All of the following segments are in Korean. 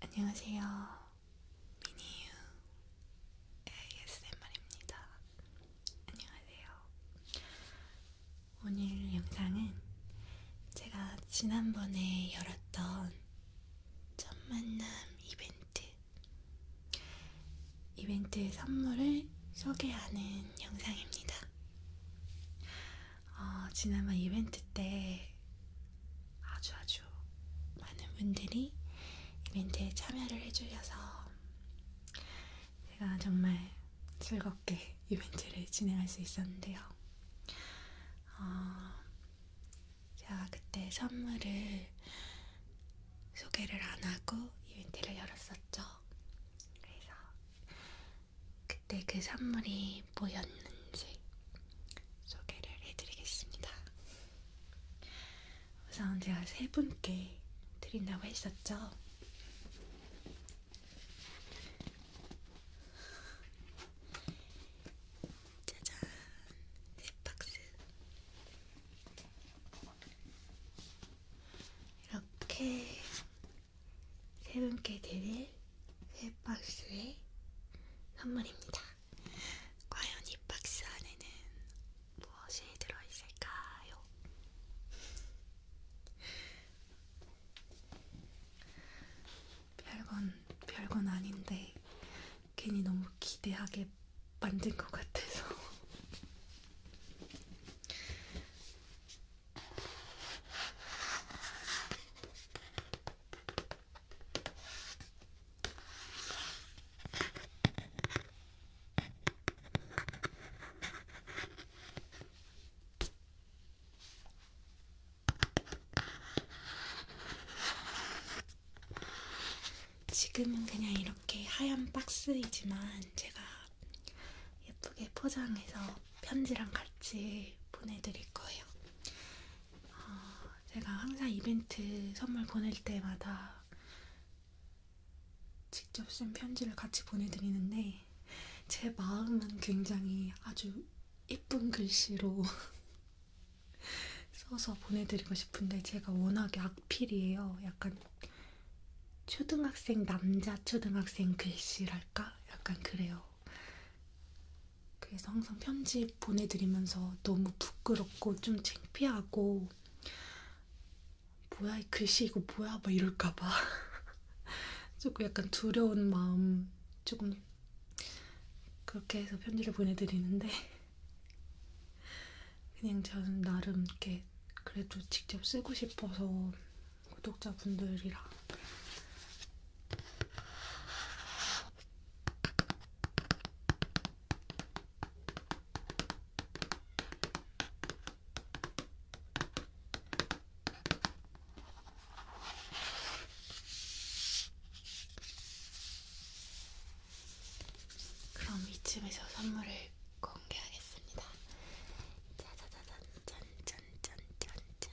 안녕하세요. 미니유 ASMR입니다. 안녕하세요. 오늘 영상은 제가 지난번에 열었던 첫 만남 이벤트 이벤트 선물을 소개하는 영상입니다. 어, 지난번 이벤트 때 아주 아주 많은 분들이 이벤트에 참여를 해주셔서 제가 정말 즐겁게 이벤트를 진행할 수 있었는데요. 어, 제가 그때 선물을 소개를 안 하고 이벤트를 열었었죠. 그래서 그때 그 선물이 제품이 뭐였는지 소개를 해드리겠습니다. 우선 제가 세 분께 드린다고 했었죠. 짜잔, 세 박스. 이렇게 세 분께 드릴 이 박스의 선물입니다. 과연 이 박스 안에는 무엇이 들어있을까요? 별건 별건 아닌데 괜히 너무 기대하게 만든 것 같아서 지금은 그냥 이렇게 하얀 박스이지만 제가 예쁘게 포장해서 편지랑 같이 보내드릴 거예요. 어, 제가 항상 이벤트 선물 보낼 때마다 직접 쓴 편지를 같이 보내드리는데 제 마음은 굉장히 아주 예쁜 글씨로 써서 보내드리고 싶은데 제가 워낙에 악필이에요. 약간 초등학생 남자 초등학생 글씨랄까? 약간 그래요. 그래서 항상 편지 보내드리면서 너무 부끄럽고 좀 창피하고 뭐야 이 글씨 이거 뭐야 막 이럴까봐 조금 약간 두려운 마음 조금 그렇게 해서 편지를 보내드리는데 그냥 저는 나름 이렇게 그래도 직접 쓰고 싶어서 구독자분들이랑 그럼 이쯤에서 선물을 공개하겠습니다. 짜자자잔 짠짠짠짠짠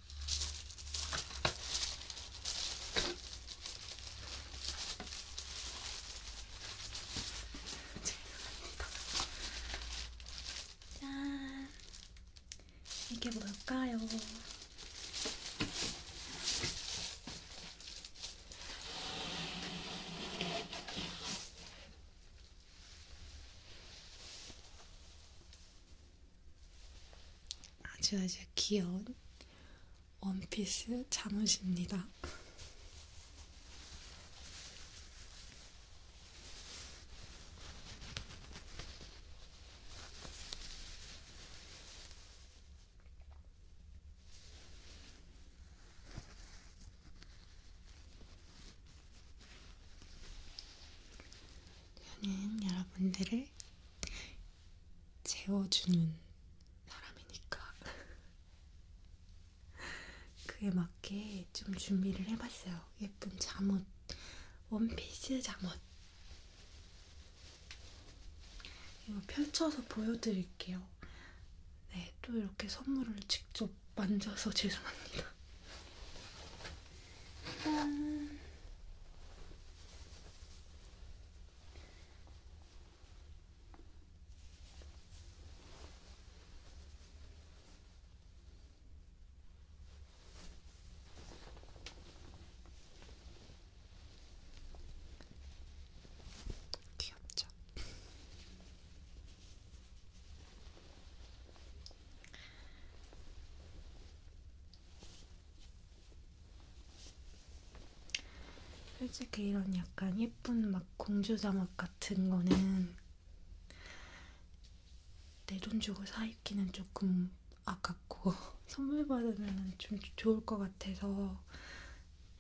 짠! 이게 뭘까요? 아주 아주 귀여운 원피스 잠옷입니다. 저는 여러분들을 재워주는 사람이니까 그에 맞게 좀 준비를 해봤어요. 예쁜 잠옷, 원피스 잠옷. 이거 펼쳐서 보여드릴게요. 네, 또 이렇게 선물을 직접 만져서 죄송합니다. 짠. 귀엽죠? 솔직히 이런 약간 예쁜 막 공주 잠옷 같은 거는 내 돈 주고 사 입기는 조금 아깝고 선물 받으면 좀 좋을 것 같아서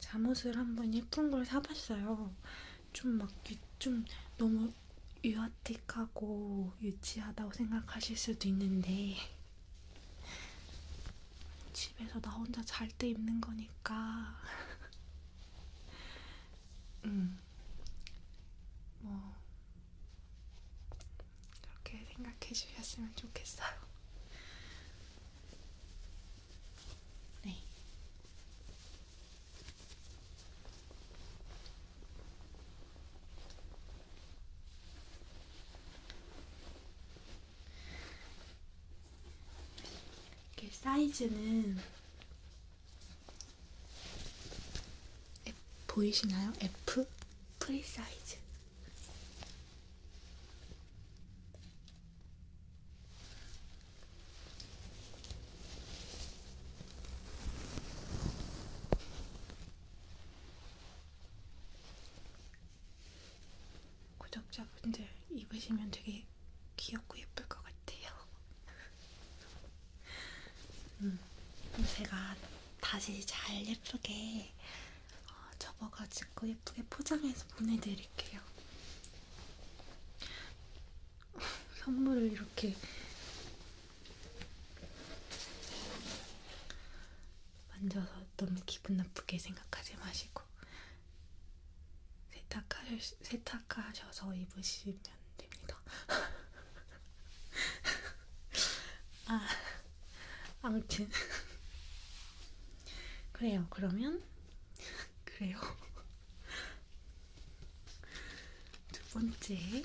잠옷을 한번 예쁜 걸 사봤어요. 좀 막좀 좀 너무 유아 로맨틱하고 유치하다고 생각하실 수도 있는데 집에서 나 혼자 잘 때 입는 거니까 음. 뭐 그렇게 생각해 주셨으면 좋겠어요. 네. 이렇게 사이즈는 F, 보이시나요? F 프리 사이즈. 구독자분들 입으시면 되게 귀엽고 예쁠 것 같아요. 음, 제가 다시 잘 예쁘게 어, 접어가지고 예쁘게 포장해서 보내드릴게요. 선물을 이렇게 만져서 너무 기분 나쁘게 생각하지 마시고 세탁하셔, 세탁하셔서 입으시면 됩니다. 아, 아무튼 그래요. 그러면 그래요. 두 번째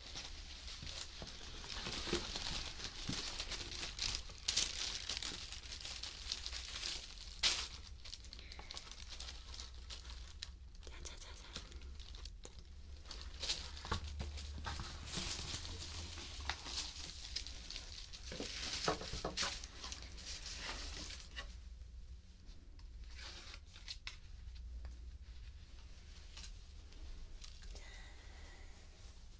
자자자자. 자,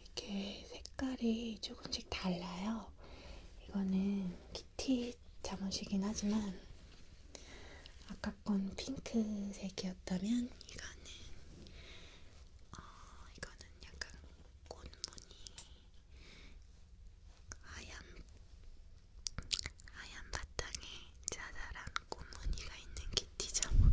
이렇게 색깔이 조금씩 달라요. 이거는 키티 잠옷이긴 하지만 아까 건 핑크색이었다면 이거는 어, 이거는 약간 꽃무늬 하얀 하얀 바탕에 자잘한 꽃무늬가 있는 키티 잠옷.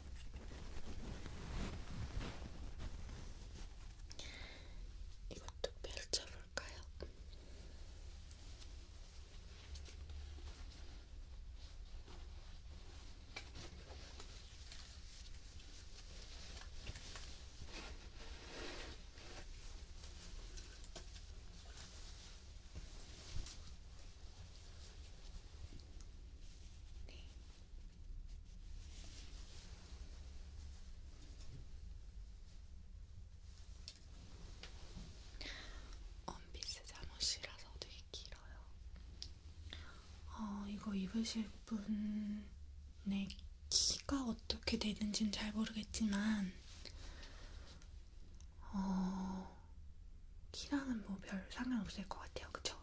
이것도 펼쳐볼까요? 네. 원피스 잠옷이라서 되게 길어요. 어, 이거 입으실 분의 키가 어떻게 되는지는 잘 모르겠지만, 어, 키랑은 뭐 별 상관없을 것 같아요. 그쵸?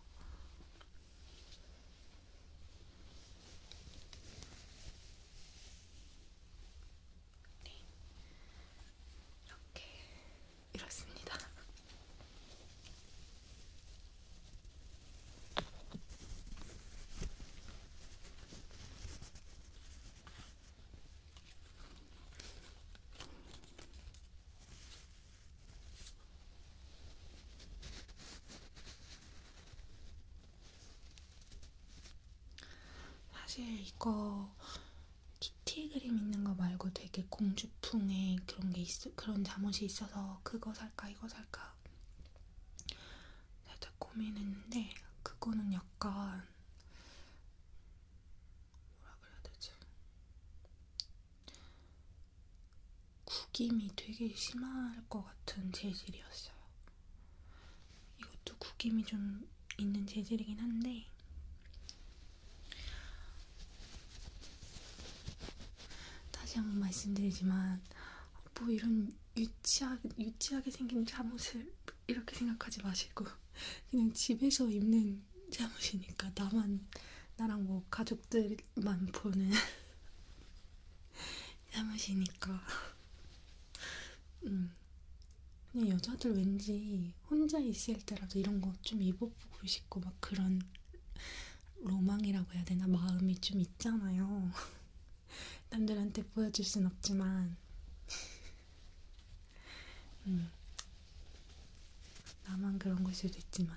네. 이렇게 이렇습니다. 사실 이거 키티 그림 있는 거 말고 되게 공주풍의 그런 게 있어 그런 잠옷이 있어서 그거 살까 이거 살까 살짝 고민했는데 그거는 약간 뭐라 그래야 되지? 구김이 되게 심할 것 같은 재질이었어요. 이것도 구김이 좀 있는 재질이긴 한데, 다시 한 번 말씀드리지만, 뭐 이런 유치하게, 유치하게 생긴 잠옷을 이렇게 생각하지 마시고, 그냥 집에서 입는 나만 잘못이니까 나만 나랑 뭐 가족들만 보는 잘못이니까 음. 그냥 여자들 왠지 혼자 있을 때라도 이런 거 좀 입어보고 싶고 막 그런 로망이라고 해야 되나 마음이 좀 있잖아요. 남들한테 보여줄 순 없지만 음. 나만 그런 걸 수도 있지만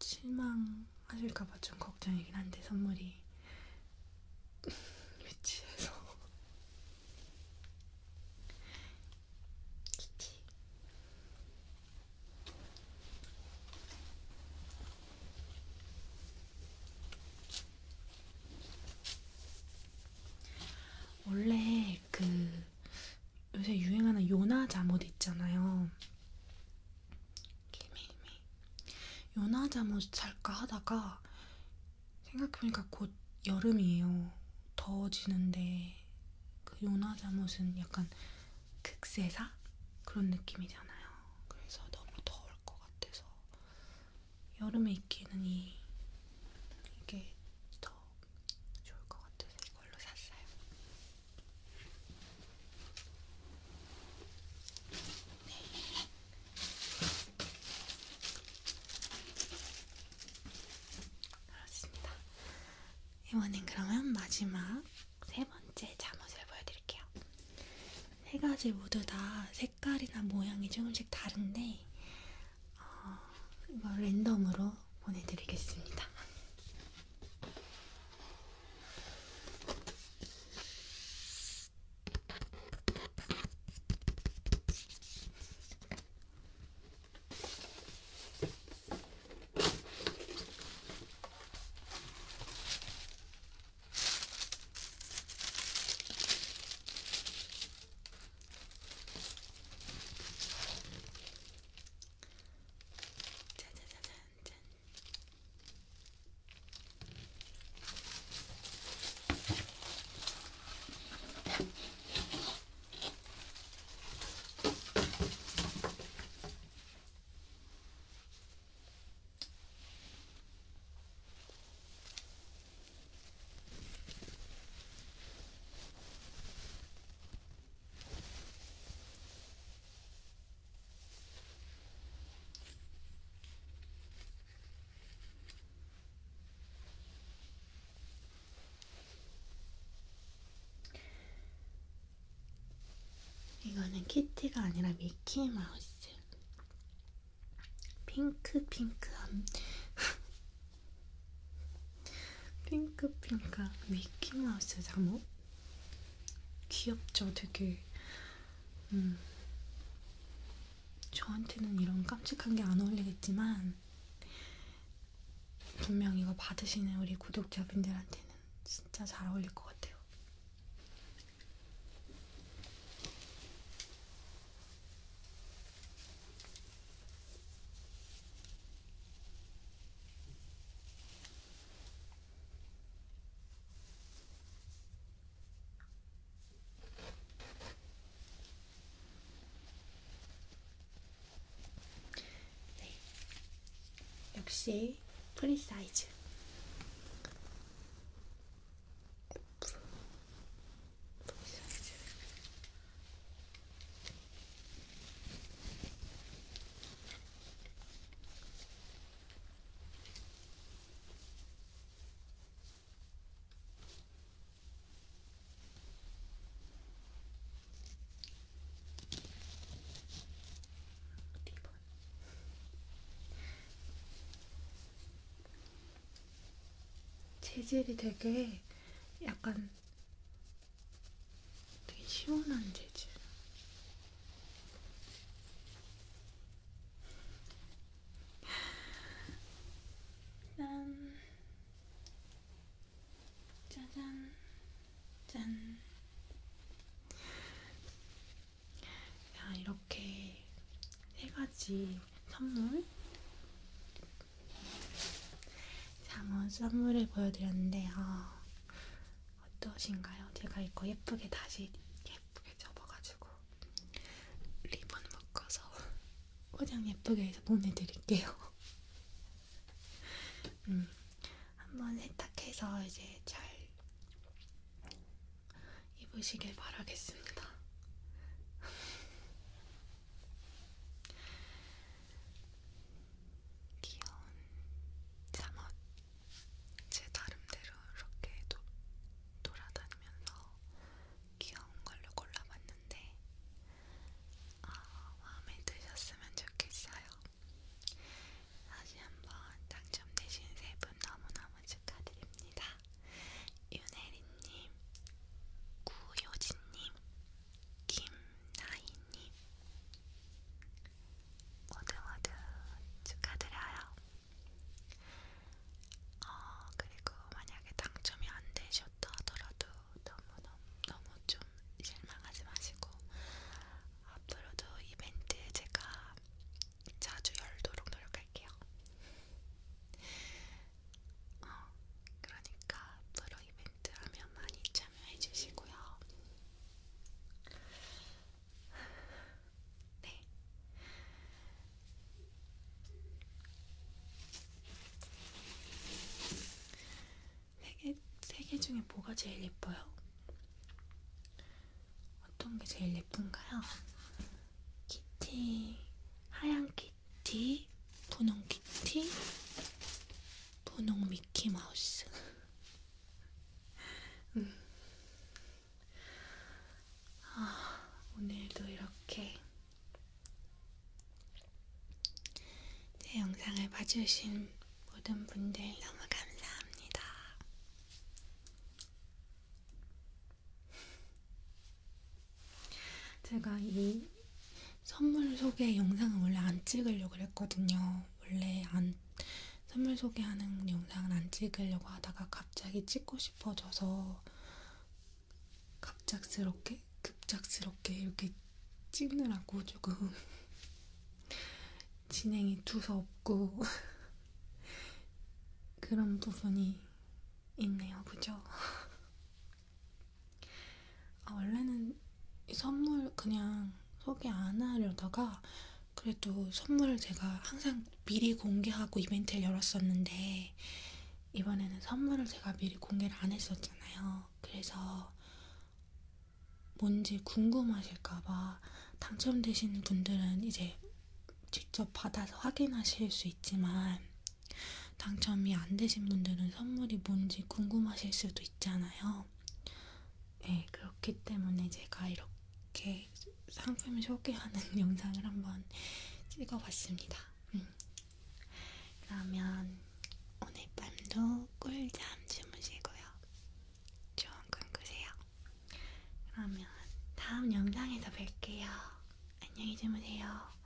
실망하실까봐 좀 걱정이긴 한데 선물이 유치해서 키티 원래 그 요새 유행하는 요나 잠옷 있잖아요. 기미미. 요나 잠옷 살까 하다가 생각해보니까 곧 여름이에요. 더워지는데 그 요나 잠옷은 약간 극세사 그런 느낌이잖아요. 그래서 너무 더울 것 같아서 여름에 입기에는 이 이게 더 좋을 것 같아서 이걸로 샀어요. 네. 그렇습니다. 이번엔 그러면 마지막 세 번째 잠옷을 보여드릴게요. 세 가지 모두 다 색깔이나 모양이 조금씩 다른데 어, 이거 랜덤으로 보내드리겠습니다. 짜자자잔짠. 이거는 키티가 아니라 미키 마우스. 핑크 핑크한 핑크핑크한 미키마우스 잠옷? 귀엽죠? 되게 음, 저한테는 이런 깜찍한 게 안 어울리겠지만 분명 이거 받으시는 우리 구독자분들한테는 진짜 잘 어울릴 것 같아요. 네. 역시 프리사이즈. 프리사이즈. 재질이 되게 약간 되게 시원한 재질. 짠, 짜잔, 짠. 자, 이렇게 세 가지 선물 자, 한번 선물을 보여드렸는데요. 어떠신가요? 제가 이거 예쁘게 다시 예쁘게 접어가지고 리본 묶어서 포장 예쁘게 해서 보내드릴게요. 음, 한번 세탁해서 이제 잘 입으시길 바라겠습니다. 귀여운 잠옷 제 나름대로 이렇게 도, 돌아다니면서 귀여운 걸로 골라봤는데 아, 마음에 드셨으면 좋겠어요. 다시 한번 당첨되신 세 분 너무너무 축하드립니다. 유네리님, 구효진님, 김나희님 모두 모두 축하드려요. 어, 그리고 만약에 당첨이 안 되셨다 하더라도 너무너무 너무 좀 실망하지 마시고 앞으로도 이벤트 제가 자주 열도록 노력할게요. 어, 그러니까 앞으로 이벤트 하면 많이 참여해 주시고요. 네. 세개 세개 중에 뭐가 제일 예뻐요? 어떤 게 제일 예쁜가요? 키티, 하얀 키티, 분홍 키티, 분홍 미키마우스. 음. 아, 오늘도 이렇게 제 영상을 봐주신 모든 분들 너무 감사합니다. 제가 이 선물 소개 영상은 원래 안 찍으려고 했거든요. 원래 안 선물 소개하는 영상은 안 찍으려고 하다가 갑자기 찍고 싶어져서 갑작스럽게 급작스럽게 이렇게 찍느라고 조금 진행이 두서없고 그런 부분이 있네요, 그죠? 아, 원래는 이 선물 그냥 소개 안 하려다가 그래도 선물 제가 항상 미리 공개하고 이벤트를 열었었는데 이번에는 선물을 제가 미리 공개를 안 했었잖아요. 그래서 뭔지 궁금하실까봐 당첨되신 분들은 이제 직접 받아서 확인하실 수 있지만 당첨이 안 되신 분들은 선물이 뭔지 궁금하실 수도 있잖아요. 네, 그렇기 때문에 제가 이렇게 상품을 소개하는 영상을 한번 찍어봤습니다. 음. 그러면 오늘 밤도 꿀잠 주무시고요. 좋은 꿈 꾸세요. 그러면 다음 영상에서 뵐게요. 안녕히 주무세요.